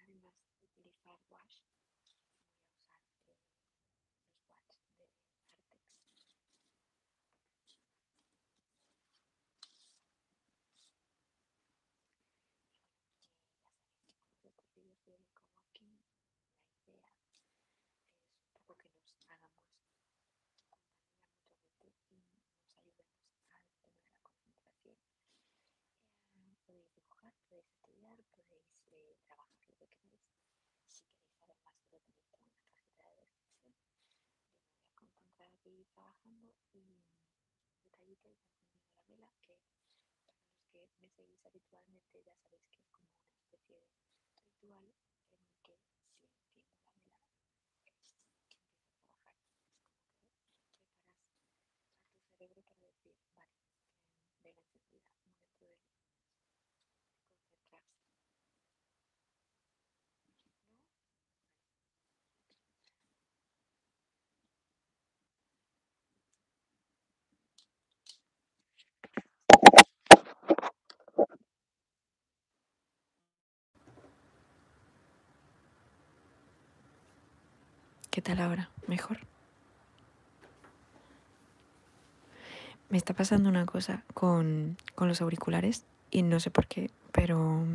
además de utilizar wash, voy a usar los de Artex. La idea es un poco que nos hagamos compañía mutuamente y nos ayudemos al tener la concentración. Eh, podéis dibujar, podéis estudiar, podéis eh, trabajar lo que queréis. Si queréis saber más, lo tenéis en cajita de descripción. Yo me voy aquí trabajando y detallito y a la vela que tenemos que que me seguís habitualmente ya sabéis que es como una especie de ritual en el que si enciendo la vela que es como que preparas a tu cerebro para decir, vale, de la encendida, no de concentrarse. No, vale. ¿Qué tal ahora? ¿Mejor? Me está pasando una cosa con, los auriculares y no sé por qué, pero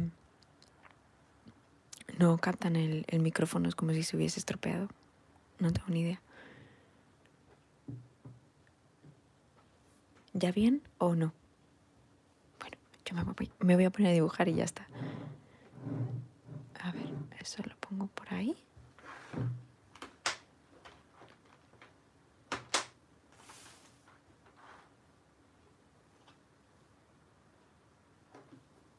no captan el, el micrófono, es como si se hubiese estropeado. No tengo ni idea. ¿Ya bien o no? Bueno, yo me voy, a poner a dibujar y ya está. A ver, eso lo pongo por ahí.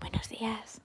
Buenos días.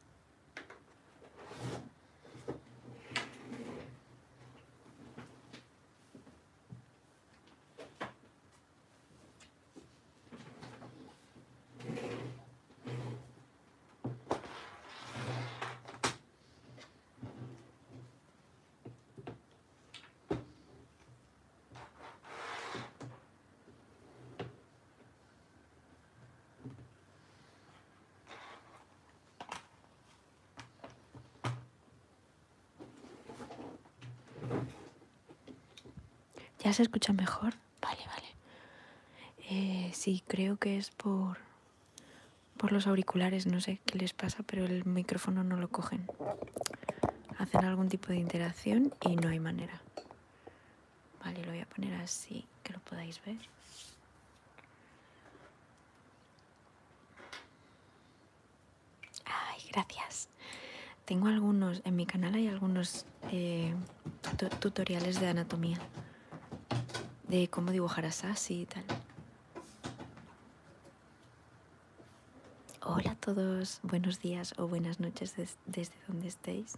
¿Ya se escucha mejor? Vale, vale. Eh, sí, creo que es por, por los auriculares, no sé qué les pasa, pero el micrófono no lo cogen hacer algún tipo de interacción y no hay manera. Vale, lo voy a poner así que lo podáis ver. Ay, gracias. Tengo algunos, en mi canal hay algunos eh, tutoriales de anatomía, de cómo dibujar así y tal. Hola a todos, buenos días o buenas noches desde donde estéis.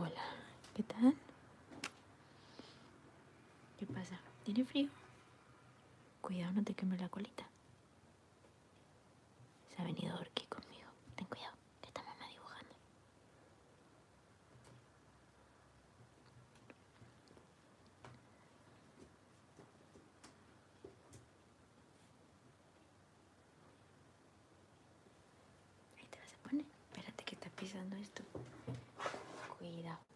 Hola, ¿qué tal? ¿Qué pasa? ¿Tiene frío? Cuidado, no te quemes la colita. Se ha venido Orquí conmigo. Ten cuidado, que está mamá dibujando. Ahí te vas a poner. Espérate que está pisando esto. Cuidado.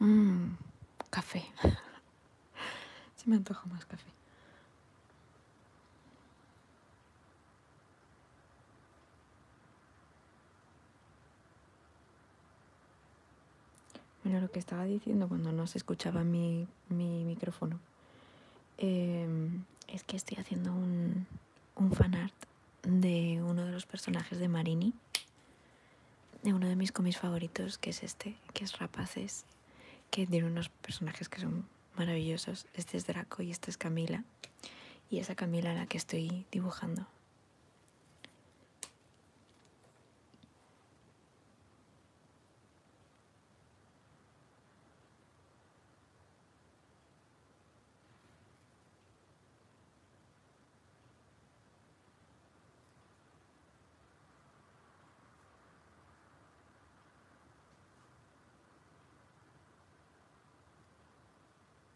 Mmm, café. si me antojo más café. Bueno, lo que estaba diciendo cuando no se escuchaba mi, micrófono em, es que estoy haciendo un, un fanart de uno de los personajes de Marini, de uno de mis cómics favoritos, que es este, que es Rapaces, que tiene unos personajes que son maravillosos. Este es Draco y este es Camila y esa Camila la que estoy dibujando.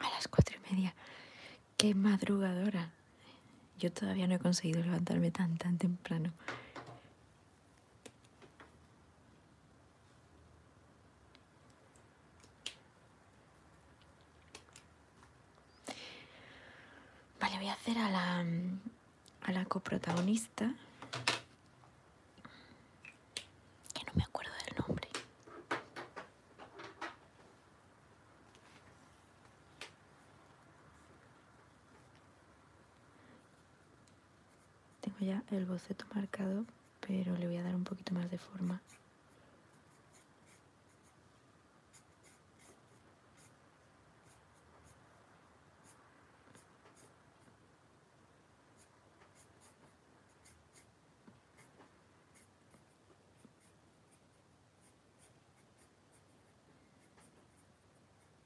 A las cuatro y media. Qué madrugadora. Yo todavía no he conseguido levantarme tan, tan temprano. Vale, voy a hacer a la, a la coprotagonista. Que no me acuerdo del nombre. Tengo ya el boceto marcado, pero le voy a dar un poquito más de forma.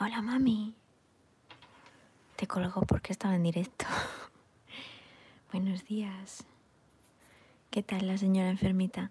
Hola mami. Te coloco porque estaba en directo. Buenos días. ¿Qué tal la señora enfermita?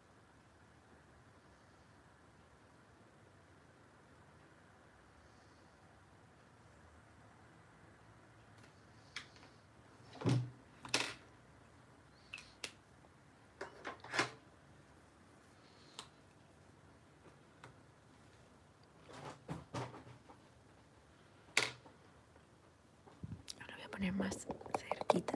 Ahora voy a poner más cerquita.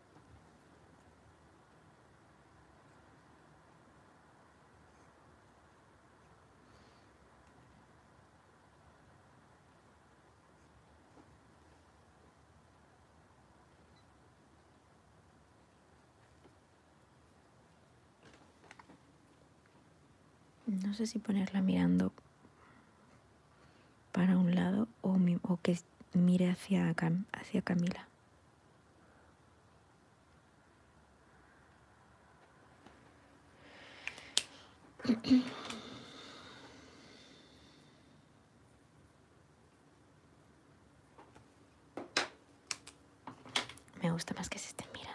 No sé si ponerla mirando para un lado o, que mire hacia, hacia Camila. Me gusta más que se estén mirando.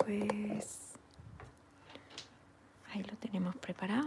Vale, pues ahí lo tenemos preparado.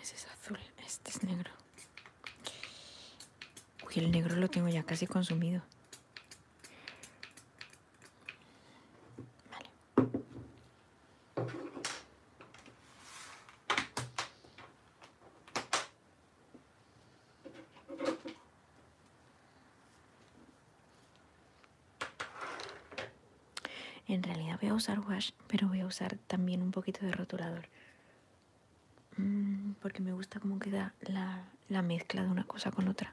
Ese es azul, este es negro. Uy, el negro lo tengo ya casi consumido. En realidad voy a usar wash, pero voy a usar también un poquito de rotulador. Mm, porque me gusta cómo queda la, la mezcla de una cosa con otra.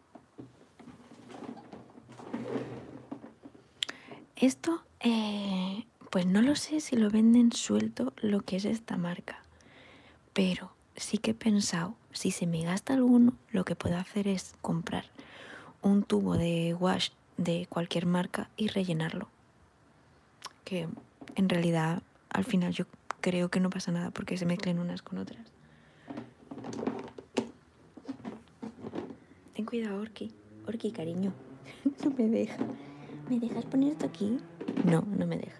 Esto, eh, pues no lo sé si lo venden suelto lo que es esta marca, pero sí que he pensado, si se me gasta alguno, lo que puedo hacer es comprar un tubo de wash de cualquier marca y rellenarlo. Que en realidad al final yo creo que no pasa nada porque se mezclen unas con otras. Ten cuidado, Orki. Orki, cariño. no me deja. ¿Me dejas poner esto aquí? No, no me deja.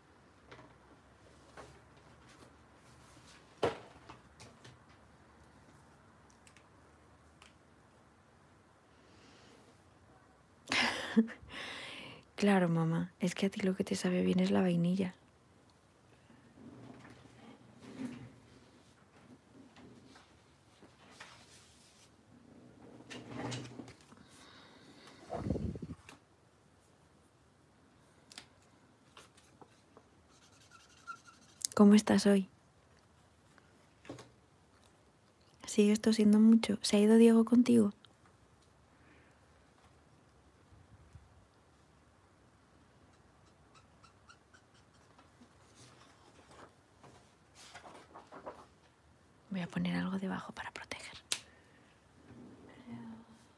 Claro, mamá, es que a ti lo que te sabe bien es la vainilla. ¿Cómo estás hoy? ¿Sigue esto siendo mucho? ¿Se ha ido Diego contigo? Voy a poner algo debajo para proteger.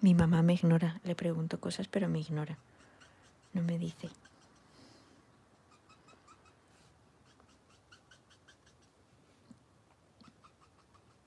Mi mamá me ignora, le pregunto cosas, pero me ignora. No me dice.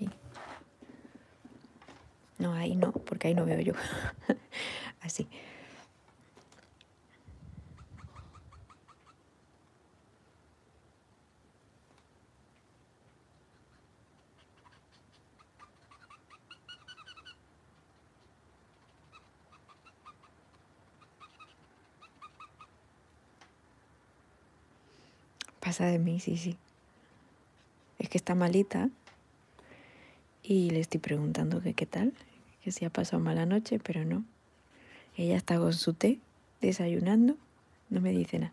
Ay. No, ahí no, porque ahí no veo yo. Así. Pasa de mí, sí, sí. Es que está malita y le estoy preguntando que qué tal, que si ha pasado mala noche, pero no. Ella está con su té, desayunando, no me dice nada.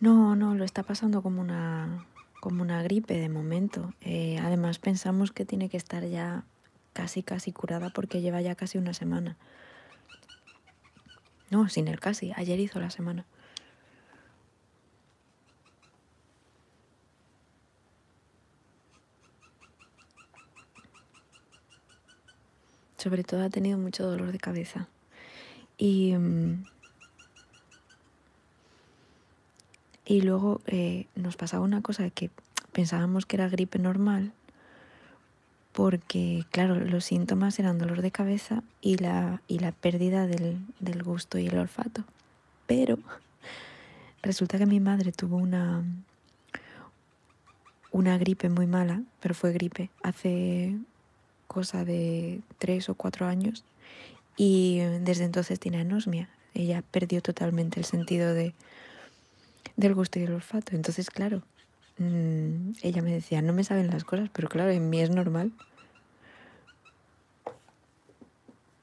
No, no, lo está pasando como una, como una gripe de momento. Eh, además pensamos que tiene que estar ya casi, casi curada porque lleva ya casi una semana. No, sin el casi, ayer hizo la semana. Sobre todo ha tenido mucho dolor de cabeza. Y, mm, y luego eh, nos pasaba una cosa que pensábamos que era gripe normal, porque claro, los síntomas eran dolor de cabeza y la, y la pérdida del, del gusto y el olfato. Pero resulta que mi madre tuvo una, una gripe muy mala, pero fue gripe, hace cosa de tres o cuatro años y desde entonces tiene anosmia. Ella perdió totalmente el sentido de, del gusto y del olfato. Entonces, claro, mm, ella me decía, no me saben las cosas, pero claro, en mí es normal.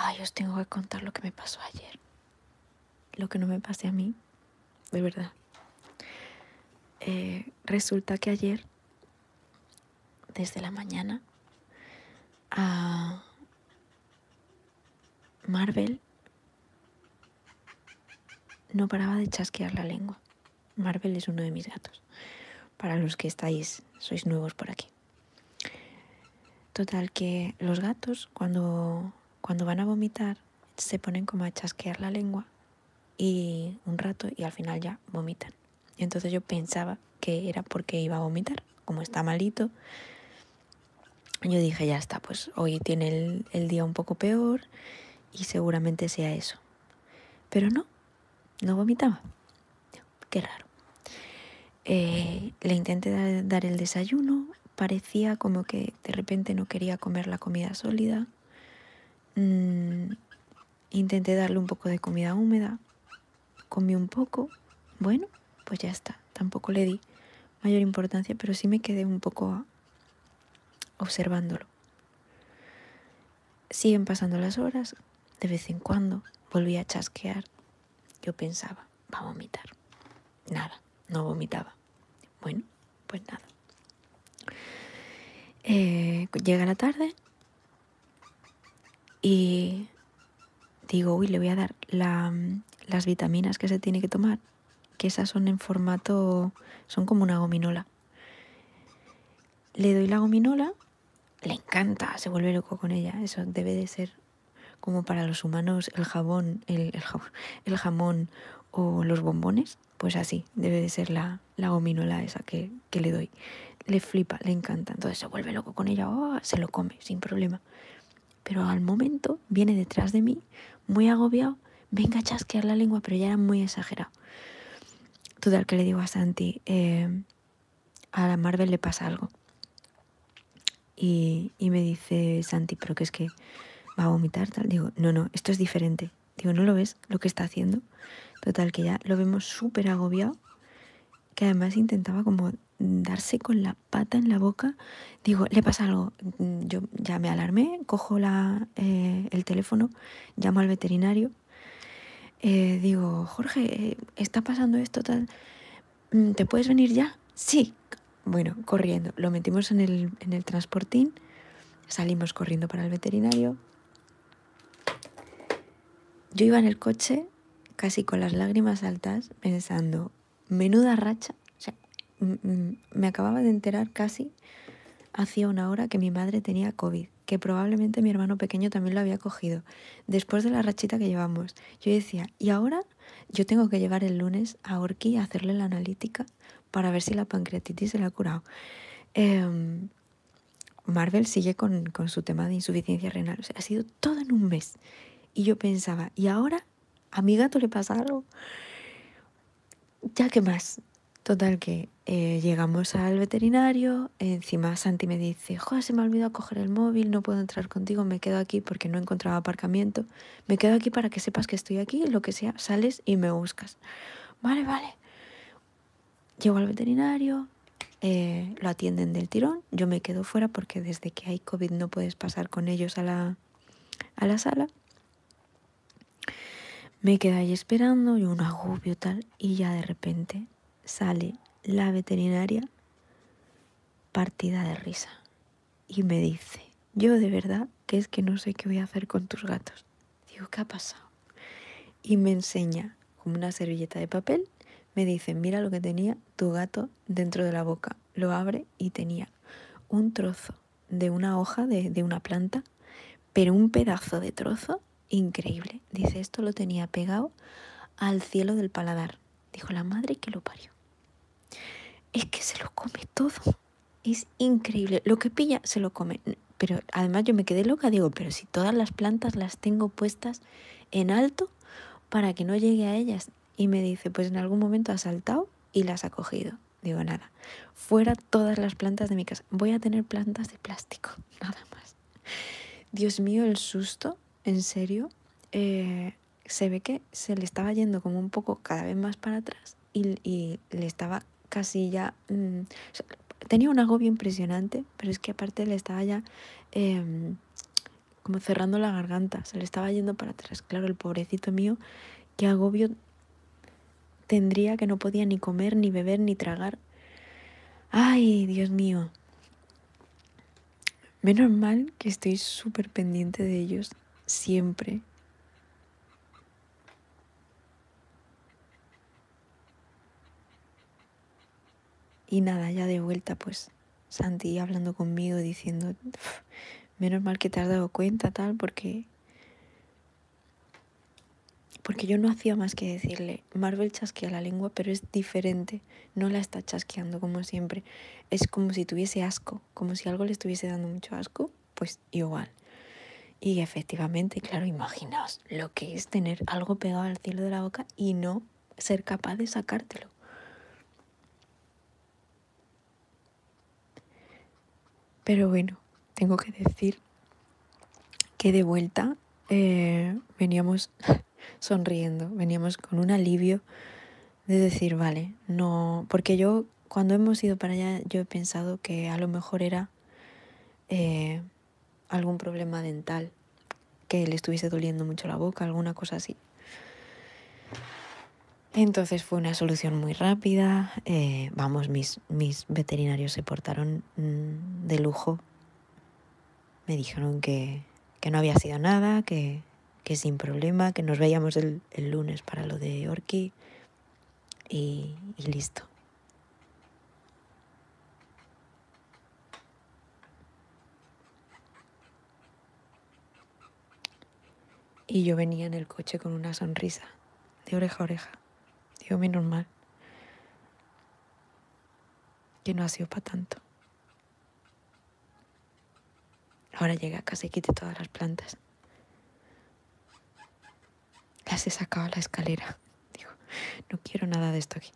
Ay, os tengo que contar lo que me pasó ayer. Lo que no me pasé a mí, de verdad. Eh, resulta que ayer, desde la mañana, Marvel no paraba de chasquear la lengua. Marvel es uno de mis gatos. Para los que estáis, sois nuevos por aquí. Total que los gatos cuando, cuando van a vomitar se ponen como a chasquear la lengua y un rato y al final ya vomitan entonces yo pensaba que era porque iba a vomitar, como está malito. Yo dije, ya está, pues hoy tiene el, día un poco peor y seguramente sea eso. Pero no, no vomitaba. Qué raro. Eh, le intenté dar, el desayuno, parecía como que de repente no quería comer la comida sólida. Mm, intenté darle un poco de comida húmeda, comí un poco, bueno, pues ya está, tampoco le di mayor importancia, pero sí me quedé un poco observándolo. Siguen pasando las horas, de vez en cuando volví a chasquear. Yo pensaba, va a vomitar. Nada, no vomitaba. Bueno, pues nada. Eh, llega la tarde, y digo, uy, le voy a dar las vitaminas que se tiene que tomar, que esas son en formato, son como una gominola. Le doy la gominola, le encanta, se vuelve loco con ella, eso debe de ser como para los humanos el jabón, el, jamón o los bombones, pues así, debe de ser la, gominola esa que, le doy. Le flipa, le encanta, entonces se vuelve loco con ella, o oh, se lo come sin problema. Pero al momento viene detrás de mí, muy agobiado, venga a chasquear la lengua, pero ya era muy exagerado. Total, que le digo a Santi, eh, a la Marvel le pasa algo. Y, me dice Santi, pero que es que va a vomitar, Digo, no, no, esto es diferente. Digo, ¿no lo ves lo que está haciendo? Total, que ya lo vemos súper agobiado, que además intentaba como darse con la pata en la boca, digo, le pasa algo. Mm, yo ya me alarmé, cojo eh, el teléfono, llamo al veterinario, eh, digo, Jorge, eh, está pasando esto, tal, mm, ¿te puedes venir ya? Sí. Bueno, corriendo, lo metimos en el, en el transportín, salimos corriendo para el veterinario. Yo iba en el coche casi con las lágrimas altas, pensando, menuda racha. O sea, me acababa de enterar casi hacía una hora que mi madre tenía COVID, que probablemente mi hermano pequeño también lo había cogido, después de la rachita que llevamos. Yo decía, ¿y ahora? Yo tengo que llevar el lunes a Orquí a hacerle la analítica para ver si la pancreatitis se la ha curado. Em, Marvel sigue con, con, su tema de insuficiencia renal. O sea, ha sido todo en un mes. Y yo pensaba, ¿y ahora a mi gato le pasa algo? Ya qué más. Total que eh, llegamos al veterinario, encima Santi me dice, joder, se me ha olvidado coger el móvil, no puedo entrar contigo, me quedo aquí porque no encontraba aparcamiento, me quedo aquí para que sepas que estoy aquí, lo que sea, sales y me buscas. Vale, vale. Llego al veterinario, eh, lo atienden del tirón, yo me quedo fuera porque desde que hay COVID no puedes pasar con ellos a la, a la sala. Me quedé ahí esperando, ...y un agobio tal, y ya de repente sale la veterinaria partida de risa y me dice, yo de verdad que es que no sé qué voy a hacer con tus gatos. Digo, ¿qué ha pasado? Y me enseña como una servilleta de papel me dicen, mira lo que tenía tu gato dentro de la boca. Lo abre y tenía un trozo de una hoja de, una planta, pero un pedazo de trozo increíble. Dice, esto lo tenía pegado al cielo del paladar. Dijo la madre que lo parió. Es que se lo come todo. Es increíble. Lo que pilla se lo come. Pero además yo me quedé loca, digo, pero si todas las plantas las tengo puestas en alto, para que no llegue a ellas. Y me dice, pues en algún momento ha saltado y las ha cogido. Digo, nada, fuera todas las plantas de mi casa. Voy a tener plantas de plástico, nada más. Dios mío, el susto, en serio. Eh, se ve que se le estaba yendo como un poco cada vez más para atrás y, le estaba casi ya... Mm, tenía un agobio impresionante, pero es que aparte le estaba ya... Em, como cerrando la garganta, se le estaba yendo para atrás. Claro, el pobrecito mío, qué agobio tendría que no podía ni comer, ni beber, ni tragar. Ay, Dios mío. Menos mal que estoy súper pendiente de ellos siempre. Y nada, ya de vuelta, pues Santi hablando conmigo, diciendo, menos mal que te has dado cuenta, tal, porque... Porque yo no hacía más que decirle, Marvel chasquea la lengua, pero es diferente, no la está chasqueando como siempre. Es como si tuviese asco, como si algo le estuviese dando mucho asco, pues igual. Y efectivamente, claro, imaginaos lo que es tener algo pegado al cielo de la boca y no ser capaz de sacártelo. Pero bueno, tengo que decir que de vuelta eh, veníamos sonriendo, veníamos con un alivio de decir, vale, no, porque yo cuando hemos ido para allá yo he pensado que a lo mejor era eh, algún problema dental que le estuviese doliendo mucho la boca, alguna cosa así. Entonces fue una solución muy rápida. Eh, vamos, mis, veterinarios se portaron mm, de lujo. Me dijeron que, no había sido nada, que, sin problema, que nos veíamos el, lunes para lo de Orki y listo. Y yo venía en el coche con una sonrisa, de oreja a oreja. Digo, menos mal. Que no ha sido para tanto. Ahora llegué a casa y quite todas las plantas. Las he sacado a la escalera. Digo, no quiero nada de esto aquí.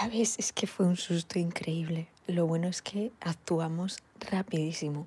Ya ves, es que fue un susto increíble. Lo bueno es que actuamos rapidísimo.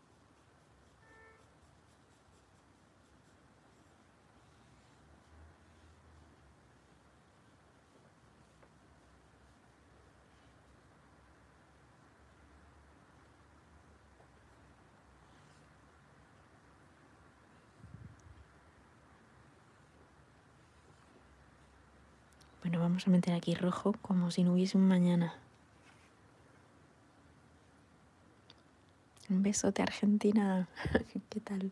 Bueno, vamos a meter aquí rojo como si no hubiese un mañana. Un beso de Argentina. ¿Qué tal?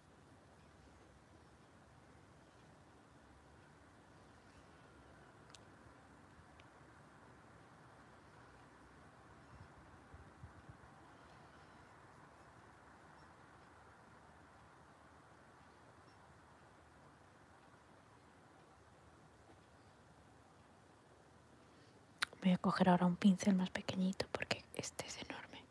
Voy a coger ahora un pincel más pequeñito porque este es enorme.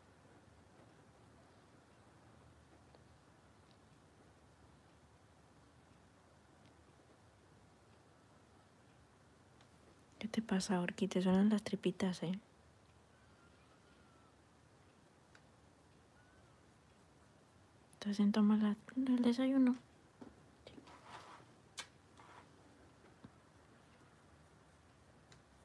¿Qué te pasa, Orquí? Te suenan las tripitas, ¿eh? Estás en tomar el desayuno.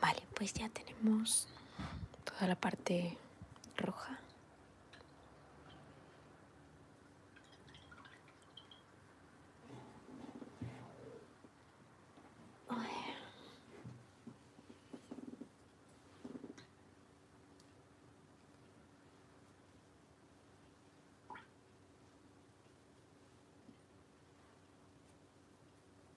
Vale, pues ya tenemos toda la parte roja.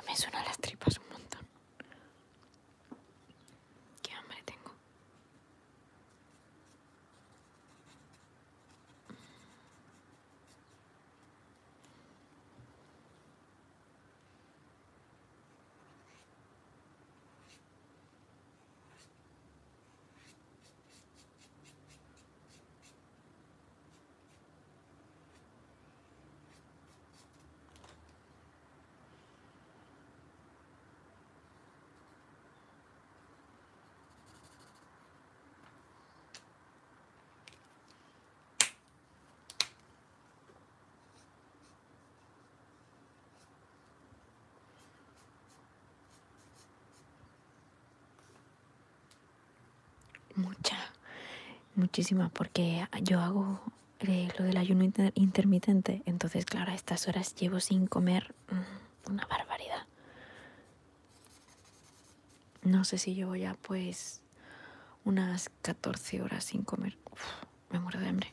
Hoy me suenan las tripas un montón. Qué hambre tengo mucha, muchísima, porque yo hago lo del ayuno intermitente. Entonces, claro, a estas horas llevo sin comer mm, una barbaridad. No sé si llevo ya pues unas 14 horas sin comer. me muero de hambre.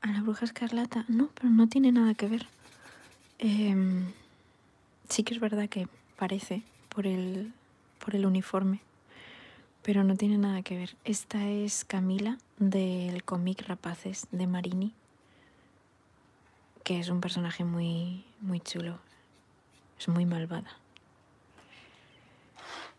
A la bruja escarlata, no, pero no tiene nada que ver. Em, sí que es verdad que parece por el, uniforme, pero no tiene nada que ver. Esta es Camila del cómic Rapaces de Marini, que es un personaje muy, muy chulo. Es muy malvada.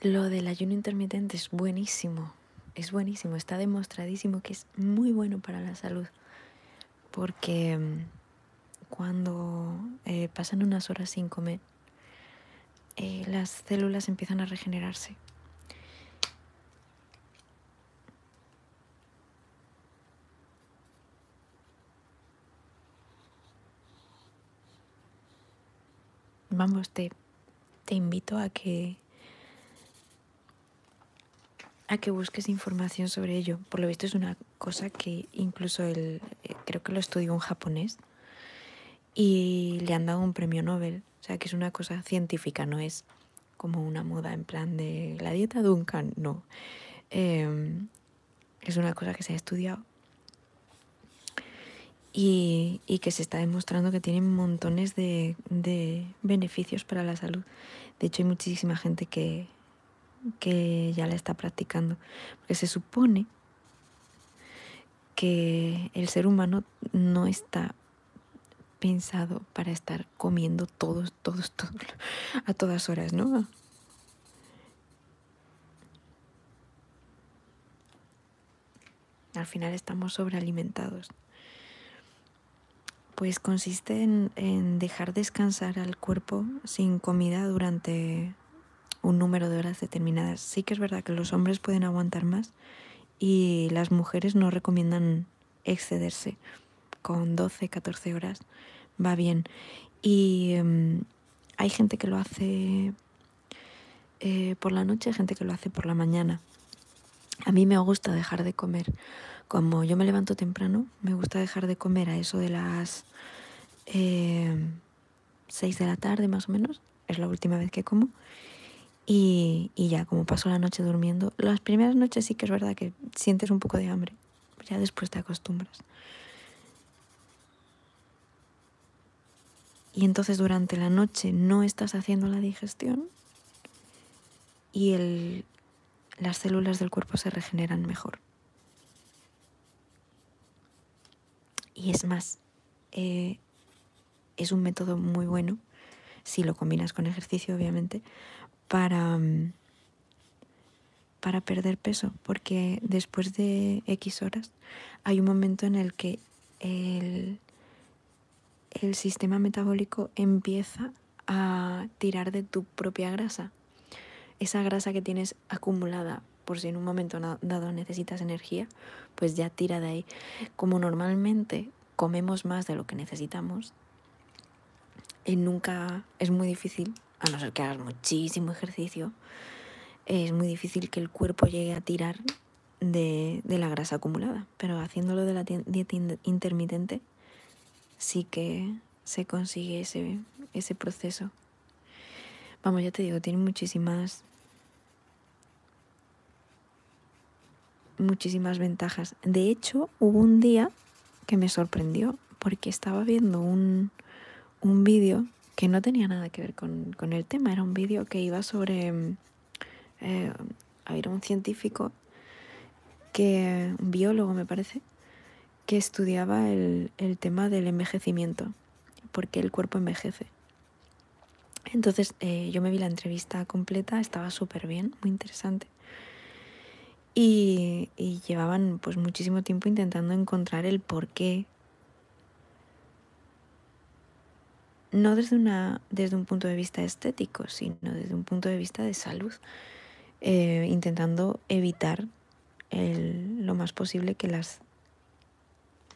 Lo del ayuno intermitente es buenísimo, es buenísimo, está demostradísimo que es muy bueno para la salud, porque mm, cuando eh, pasan unas horas sin comer, eh, las células empiezan a regenerarse Vamos, te, invito a que a que busques información sobre ello. Por lo visto es una cosa que incluso eh, creo que lo estudió un japonés y le han dado un premio Nobel. O sea, que es una cosa científica, no es como una moda en plan de la dieta Duncan, no. Em, es una cosa que se ha estudiado y, que se está demostrando que tiene montones de, beneficios para la salud. De hecho, hay muchísima gente que, que ya la está practicando, porque se supone que el ser humano no está pensado para estar comiendo todos, todos, todos, a todas horas, ¿no? Al final estamos sobrealimentados. Pues consiste en, dejar descansar al cuerpo sin comida durante un número de horas determinadas. Sí que es verdad que los hombres pueden aguantar más y las mujeres no recomiendan excederse. Con 12, 14 horas va bien. Y em, hay gente que lo hace eh, por la noche, gente que lo hace por la mañana. A mí me gusta dejar de comer. Como yo me levanto temprano, me gusta dejar de comer a eso de las 6 eh, de la tarde más o menos es la última vez que como. Y, ya, como paso la noche durmiendo, las primeras noches sí que es verdad que sientes un poco de hambre, ya después te acostumbras. Y entonces durante la noche no estás haciendo la digestión y el, las células del cuerpo se regeneran mejor. Y es más, eh, es un método muy bueno, si lo combinas con ejercicio obviamente, mm, para, perder peso, porque después de X horas hay un momento en el que el sistema metabólico empieza a tirar de tu propia grasa, esa grasa que tienes acumulada por si en un momento dado necesitas energía, pues ya tira de ahí. Como normalmente comemos más de lo que necesitamos y nunca es muy difícil, a no ser que hagas muchísimo ejercicio, es muy difícil que el cuerpo llegue a tirar de, la grasa acumulada, pero haciéndolo de la dieta intermitente sí que se consigue ese, ese proceso. Vamos, ya te digo, tiene muchísimas muchísimas ventajas. De hecho, hubo un día que me sorprendió porque estaba viendo un, vídeo que no tenía nada que ver con, el tema. Era un vídeo que iba sobre... Mm, eh, un científico que... un biólogo me parece, que estudiaba el, el tema del envejecimiento, porque el cuerpo envejece. Entonces eh, yo me vi la entrevista completa, estaba súper bien, muy interesante. Y, llevaban pues muchísimo tiempo intentando encontrar el por No desde, un punto de vista estético, sino desde un punto de vista de salud, eh, intentando evitar lo más posible que las,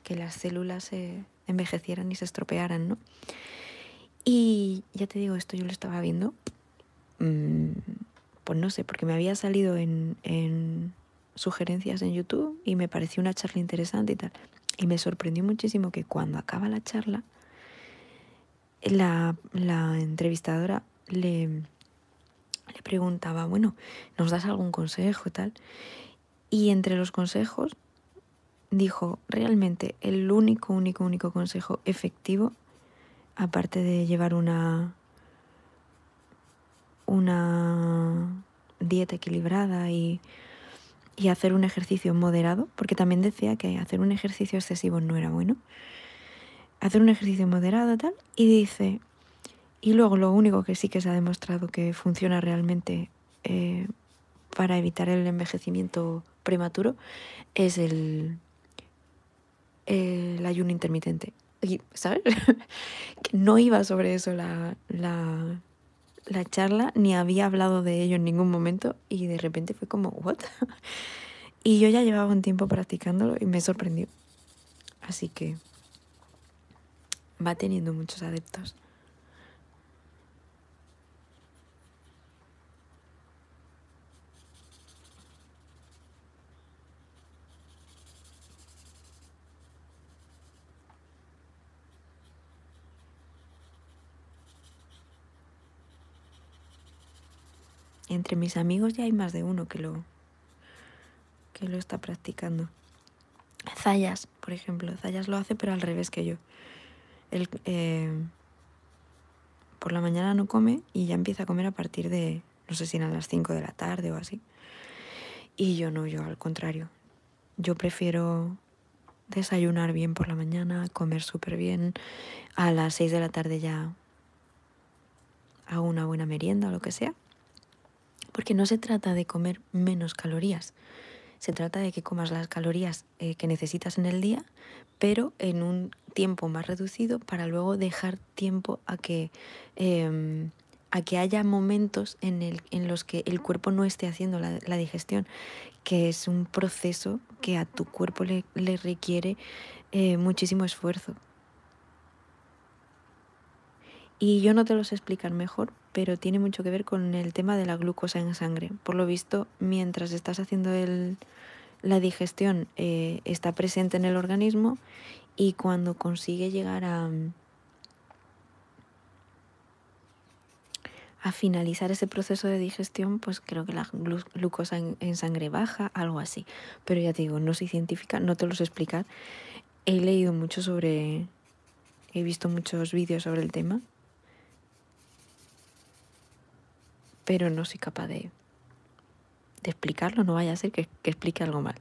que las células se, envejecieran y se estropearan, ¿no? Y ya te digo, esto yo lo estaba viendo, mm, pues no sé, porque me había salido en, sugerencias en YouTube y me pareció una charla interesante y tal. Y me sorprendió muchísimo que cuando acaba la charla, la, entrevistadora le, le preguntaba, bueno, ¿nos das algún consejo y tal? Y entre los consejos dijo, realmente el único, único, único consejo efectivo, aparte de llevar una, dieta equilibrada y, hacer un ejercicio moderado, porque también decía que hacer un ejercicio excesivo no era bueno, hacer un ejercicio moderado tal, y dice, y luego lo único que sí que se ha demostrado que funciona realmente eh, para evitar el envejecimiento prematuro es el, el ayuno intermitente. Y, ¿Sabes? no iba sobre eso la, charla, ni había hablado de ello en ningún momento y de repente fue como, ¿what? y yo ya llevaba un tiempo practicándolo y me sorprendió. Así que va teniendo muchos adeptos. Entre mis amigos ya hay más de uno que lo que lo está practicando. Zayas, por ejemplo. Zayas lo hace, pero al revés que yo. Eh, por la mañana no come y ya empieza a comer a partir de, no sé si a las 5 de la tarde o así. Y yo no, yo al contrario. Yo prefiero desayunar bien por la mañana, comer súper bien. A las 6 de la tarde ya hago una buena merienda o lo que sea. Porque no se trata de comer menos calorías. Se trata de que comas las calorías eh, que necesitas en el día, pero en un tiempo más reducido para luego dejar tiempo a que, em, a que haya momentos en, el, en, los que el cuerpo no esté haciendo la, digestión, que es un proceso que a tu cuerpo le, requiere eh, muchísimo esfuerzo. Y yo no te los explicar mejor, pero tiene mucho que ver con el tema de la glucosa en sangre. Por lo visto, mientras estás haciendo la digestión eh, está presente en el organismo y cuando consigue llegar a, finalizar ese proceso de digestión, pues creo que la glucosa en, sangre baja, algo así. Pero ya te digo, no soy científica, no te los explicar. He leído mucho sobre, he visto muchos vídeos sobre el tema pero no soy capaz de, explicarlo, no vaya a ser que explique algo mal.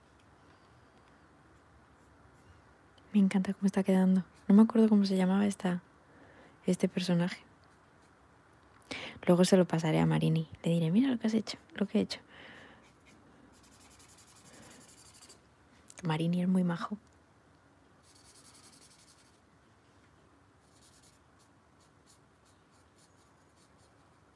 Me encanta cómo está quedando. No me acuerdo cómo se llamaba este personaje. Luego se lo pasaré a Marini. Le diré, mira lo que has hecho, lo que he hecho. Marini es muy majo.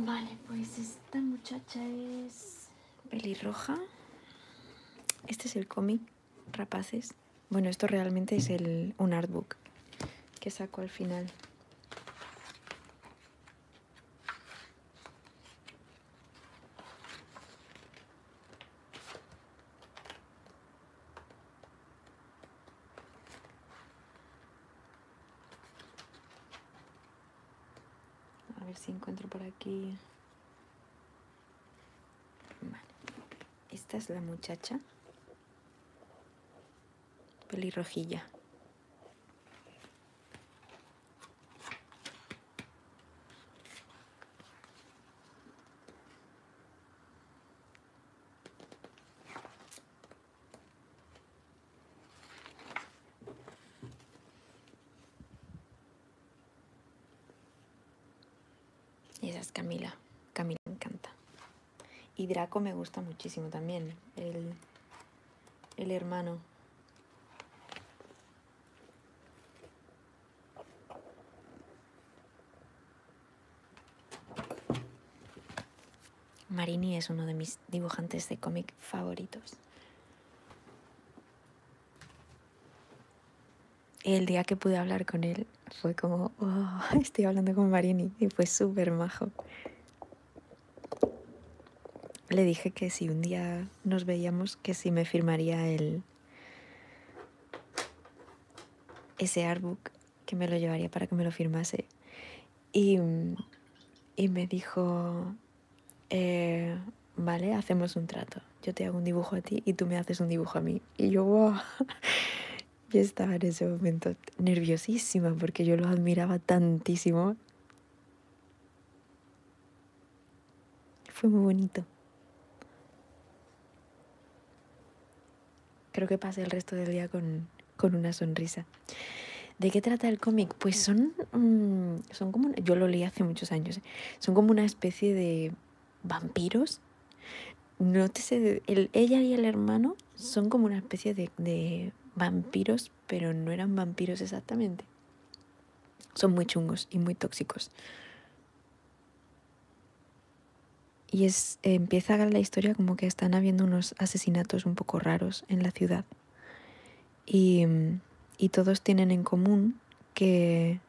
Vale, pues esta muchacha es pelirroja. Este es el cómic Rapaces. Bueno, esto realmente es un artbook que saco al final. A ver si encuentro por aquí. Esta es la muchacha pelirrojilla. Y esa es Camila. Camila encanta. Y Draco me gusta muchísimo también. El, el hermano. Marini es uno de mis dibujantes de cómic favoritos. el día que pude hablar con él fue como, oh, estoy hablando con Marini y fue súper majo le dije que si un día nos veíamos, que si me firmaría el ese artbook, que me lo llevaría para que me lo firmase. Y, me dijo, eh, vale, hacemos un trato. Yo te hago un dibujo a ti y tú me haces un dibujo a mí. Y yo, wow. Yo estaba en ese momento nerviosísima porque yo lo admiraba tantísimo fue muy bonito. Creo que pasé el resto del día con, una sonrisa. ¿De qué trata el cómic? Pues son, mm, son como, yo lo leí hace muchos años, ¿eh? son como una especie de vampiros. No ella y el hermano son como una especie de, de vampiros pero no eran vampiros exactamente. Son muy chungos y muy tóxicos. Y es, empieza la historia como que están habiendo unos asesinatos un poco raros en la ciudad. Y, todos tienen en común que,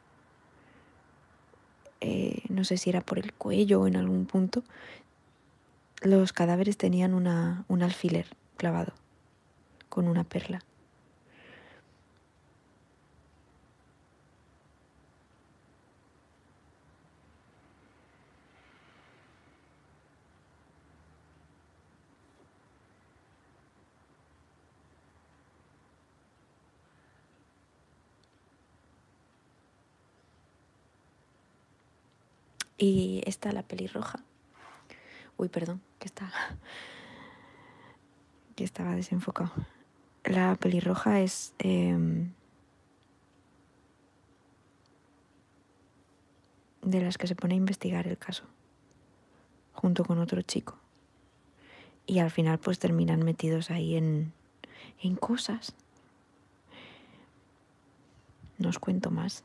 eh, no sé si era por el cuello o en algún punto, los cadáveres tenían un alfiler clavado con una perla. Y está la pelirroja. Uy, perdón, que está. que estaba desenfocado. La pelirroja es. Em, de las que se pone a investigar el caso. Junto con otro chico. Y al final, pues terminan metidos ahí en. en cosas. No os cuento más.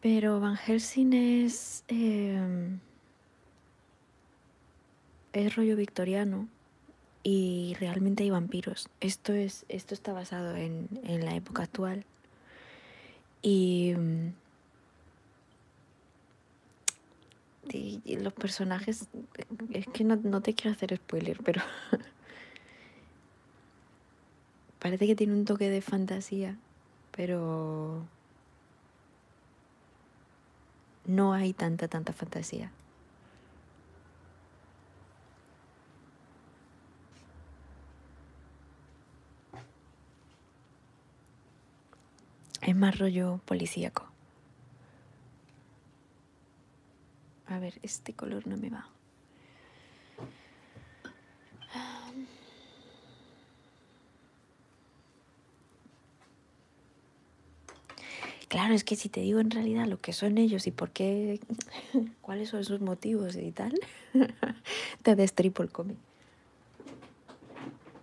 Pero Van Helsing es, em, es rollo victoriano y realmente hay vampiros. Esto, es, esto está basado en, en la época actual. Y em, y, los personajes, es que no, no te quiero hacer spoiler, pero parece que tiene un toque de fantasía, pero no hay tanta, tanta fantasía. Es más rollo policíaco. A ver, este color no me va. Claro, es que si te digo en realidad lo que son ellos y por qué, cuáles son sus motivos y tal, te destripo el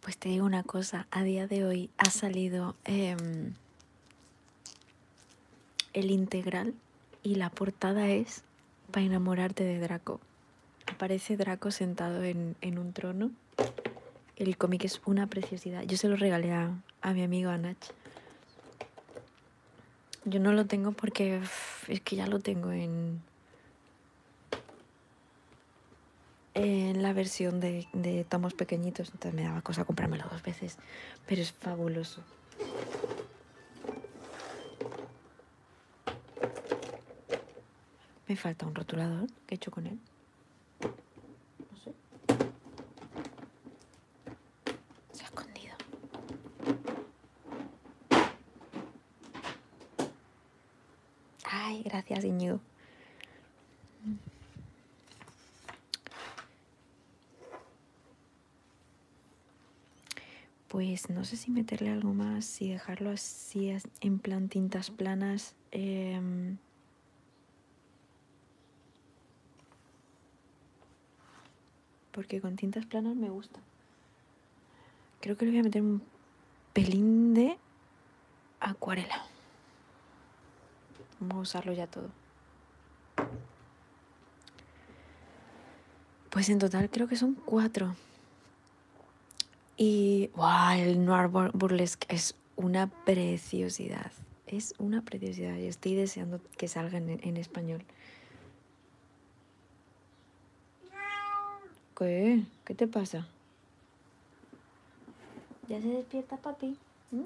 Pues te digo una cosa, a día de hoy ha salido em, el integral y la portada es para enamorarte de Draco. Aparece Draco sentado en un trono el cómic es una preciosidad. Yo se lo regalé a, mi amigo Anach. Yo no lo tengo porque es que ya lo tengo en, en la versión de, de, tomos pequeñitos, entonces me daba cosa comprármelo dos veces, pero es fabuloso. Me falta un rotulador que he hecho con él. No sé. Se ha escondido. Ay, gracias, Iñigo. Pues no sé si meterle algo más, si dejarlo así en plan tintas planas Em, porque con tintas planas me gusta. Creo que le voy a meter un pelín de acuarela. Vamos a usarlo ya todo. Pues en total creo que son cuatro. Y el noir burlesque es una preciosidad. Es una preciosidad. Yo estoy deseando que salgan en, español. ¿Qué? ¿Qué te pasa? Ya se despierta papi. ti. ¿Mm?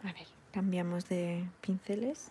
A ver, cambiamos de pinceles.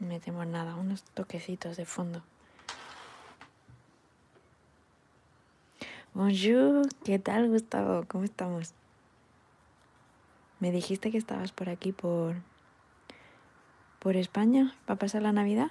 metemos nada, unos toquecitos de fondo. Bonjour, ¿qué tal Gustavo? ¿Cómo estamos? Me dijiste que estabas por aquí por por España, para pasar la Navidad?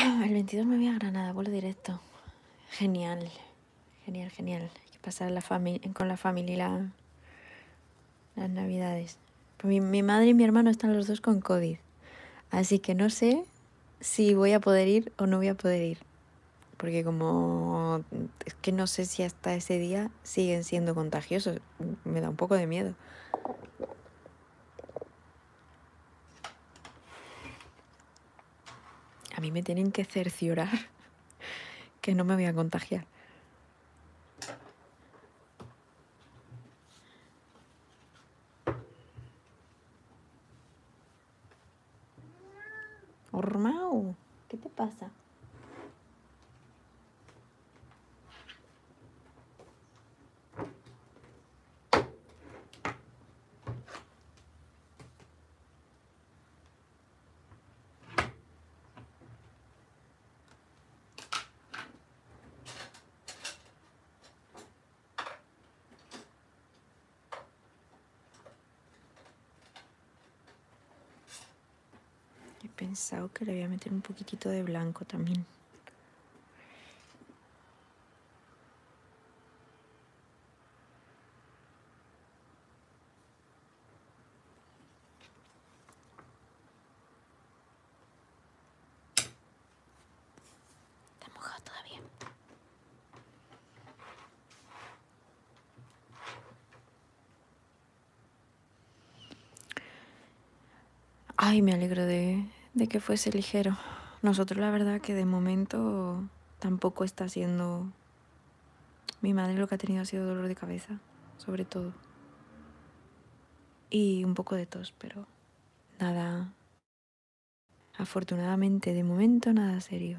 Ah, el 22 me voy a Granada, vuelo directo. Genial, genial, genial. Hay que pasar la con la familia las navidades. Pues mi, madre y mi hermano están los dos con COVID. Así que no sé si voy a poder ir o no voy a poder ir. Porque como es que no sé si hasta ese día siguen siendo contagiosos, me da un poco de miedo. A mí me tienen que cerciorar que no me voy a contagiar. Ormau, ¿qué te pasa? He pensado que le voy a meter un poquitito de blanco también. Te mojado todavía. Ay, me alegro de, de que fuese ligero. Nosotros la verdad que de momento tampoco está siendo... Mi madre lo que ha tenido ha sido dolor de cabeza, sobre todo. Y un poco de tos, pero nada Afortunadamente, de momento nada serio.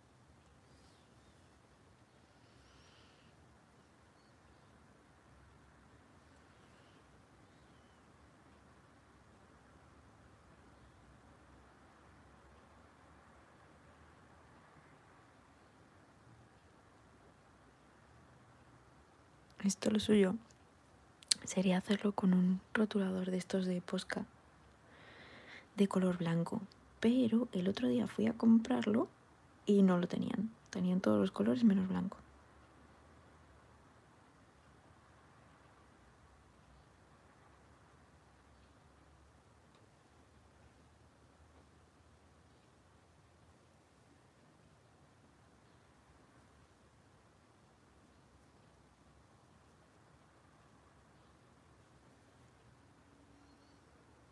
Esto lo suyo sería hacerlo con un rotulador de estos de posca de color blanco. Pero el otro día fui a comprarlo y no lo tenían. Tenían todos los colores menos blanco.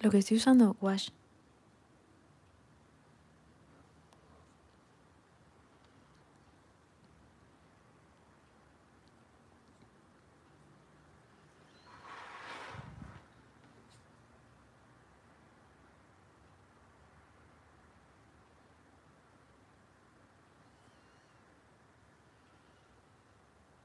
Lo que estoy usando, wash.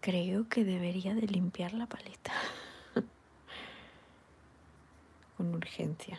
Creo que debería de limpiar la paleta con urgencia.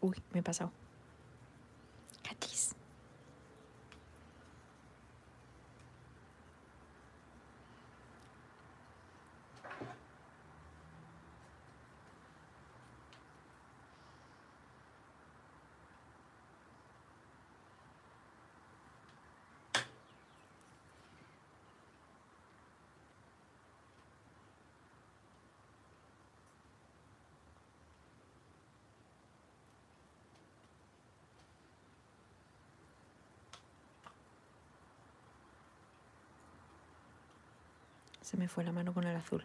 Uy, me he pasado. Catis. Se me fue la mano con el azul.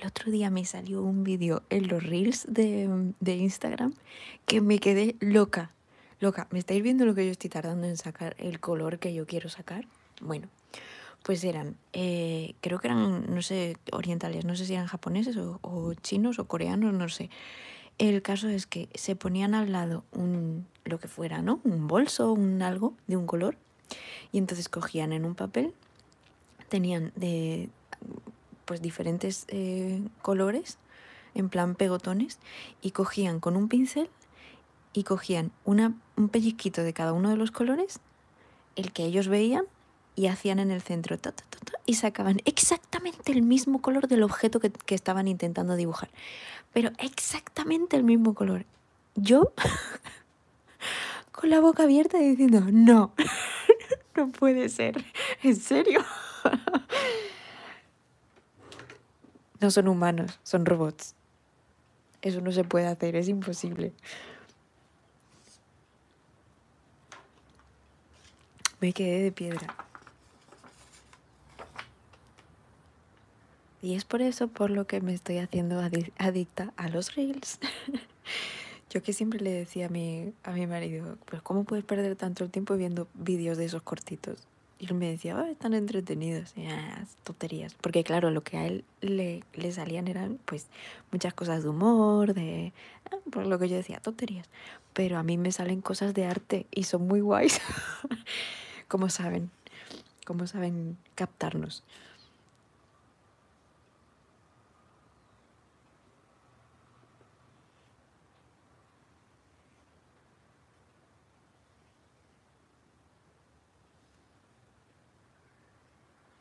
el otro día me salió un vídeo en los reels de, Instagram que me quedé loca. Loca, ¿me estáis viendo lo que yo estoy tardando en sacar el color que yo quiero sacar? Bueno, pues eran, eh, creo que eran, no sé, orientales, no sé si eran japoneses o, chinos o coreanos, no sé. El caso es que se ponían al lado un, lo que fuera, ¿no? Un bolso, un algo de un color. Y entonces cogían en un papel, tenían de, pues diferentes eh, colores, en plan pegotones, y cogían con un pincel y cogían una, un pellizquito de cada uno de los colores, el que ellos veían, y hacían en el centro y sacaban exactamente el mismo color del objeto que, que estaban intentando dibujar. Pero exactamente el mismo color. Yo, con la boca abierta diciendo, no, no puede ser, en serio. no son humanos, son robots. Eso no se puede hacer, es imposible. Me quedé de piedra. Y es por eso por lo que me estoy haciendo adicta a los reels. Yo que siempre le decía a mi, a mi marido, pues ¿cómo puedes perder tanto tiempo viendo vídeos de esos cortitos? Y él me decía, están entretenidos. Y, las ah, tonterías. Porque claro, lo que a él le, salían eran pues muchas cosas de humor, de ah, por lo que yo decía, tonterías. Pero a mí me salen cosas de arte y son muy guays. como saben, como saben captarnos.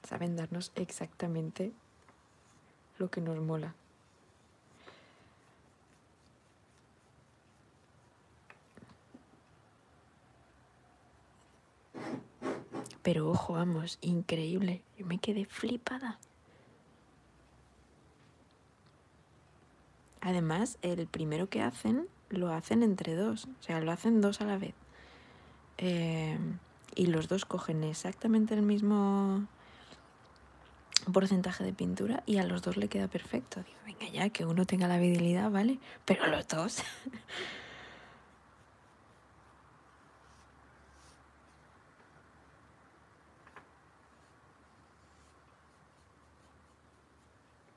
Saben darnos exactamente lo que nos mola. Pero ojo, vamos, increíble. Yo me quedé flipada. Además, el primero que hacen lo hacen entre dos, o sea, lo hacen dos a la vez. Eh, y los dos cogen exactamente el mismo porcentaje de pintura y a los dos le queda perfecto. venga ya, que uno tenga la habilidad, ¿vale? Pero los dos.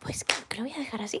Pues que lo voy a dejar así.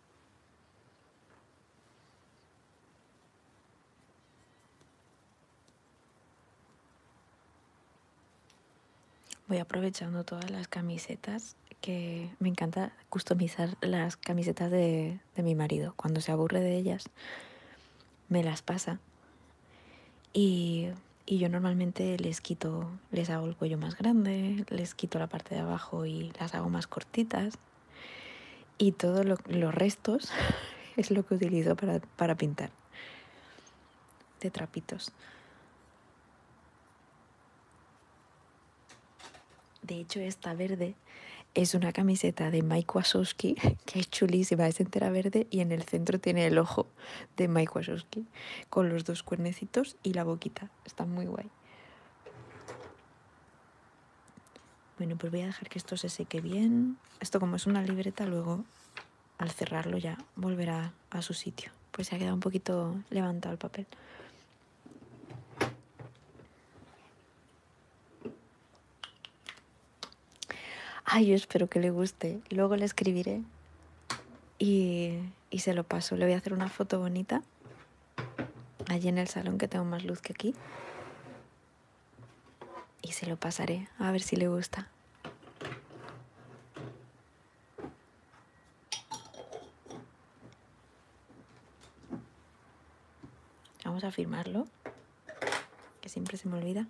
Voy aprovechando todas las camisetas que me encanta customizar las camisetas de, mi marido. Cuando se aburre de ellas, me las pasa. y yo normalmente les quito les hago el cuello más grande, les quito la parte de abajo y las hago más cortitas. Y todos los restos es lo que utilizo para, pintar. De trapitos. De hecho, esta verde es una camiseta de Mike Wazowski, que es chulísima, es entera verde y en el centro tiene el ojo de Mike Wazowski, con los dos cuernecitos y la boquita. Está muy guay. Bueno, pues voy a dejar que esto se seque bien. Esto como es una libreta, luego al cerrarlo ya volverá a su sitio. Pues se ha quedado un poquito levantado el papel. Ay, yo espero que le guste. Luego le escribiré y y se lo paso. Le voy a hacer una foto bonita allí en el salón que tengo más luz que aquí. Y se lo pasaré a ver si le gusta. Vamos a firmarlo, que siempre se me olvida.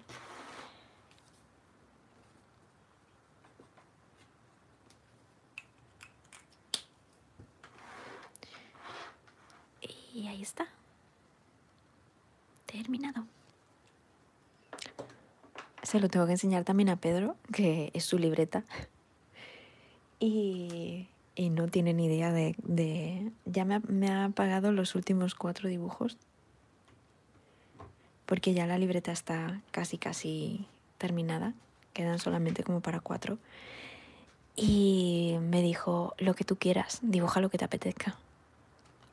Y ahí está. Terminado. Se lo tengo que enseñar también a Pedro, que es su libreta. Y, no tiene ni idea de... Ya me ha, apagado los últimos cuatro dibujos. Porque ya la libreta está casi, casi terminada, quedan solamente como para cuatro. Y me dijo, lo que tú quieras, dibuja lo que te apetezca.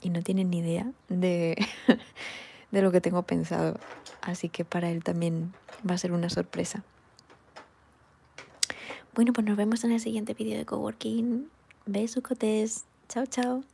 Y no tiene ni idea de, de lo que tengo pensado. Así que para él también va a ser una sorpresa. Bueno, pues nos vemos en el siguiente vídeo de Coworking. cotés, Chao, chao.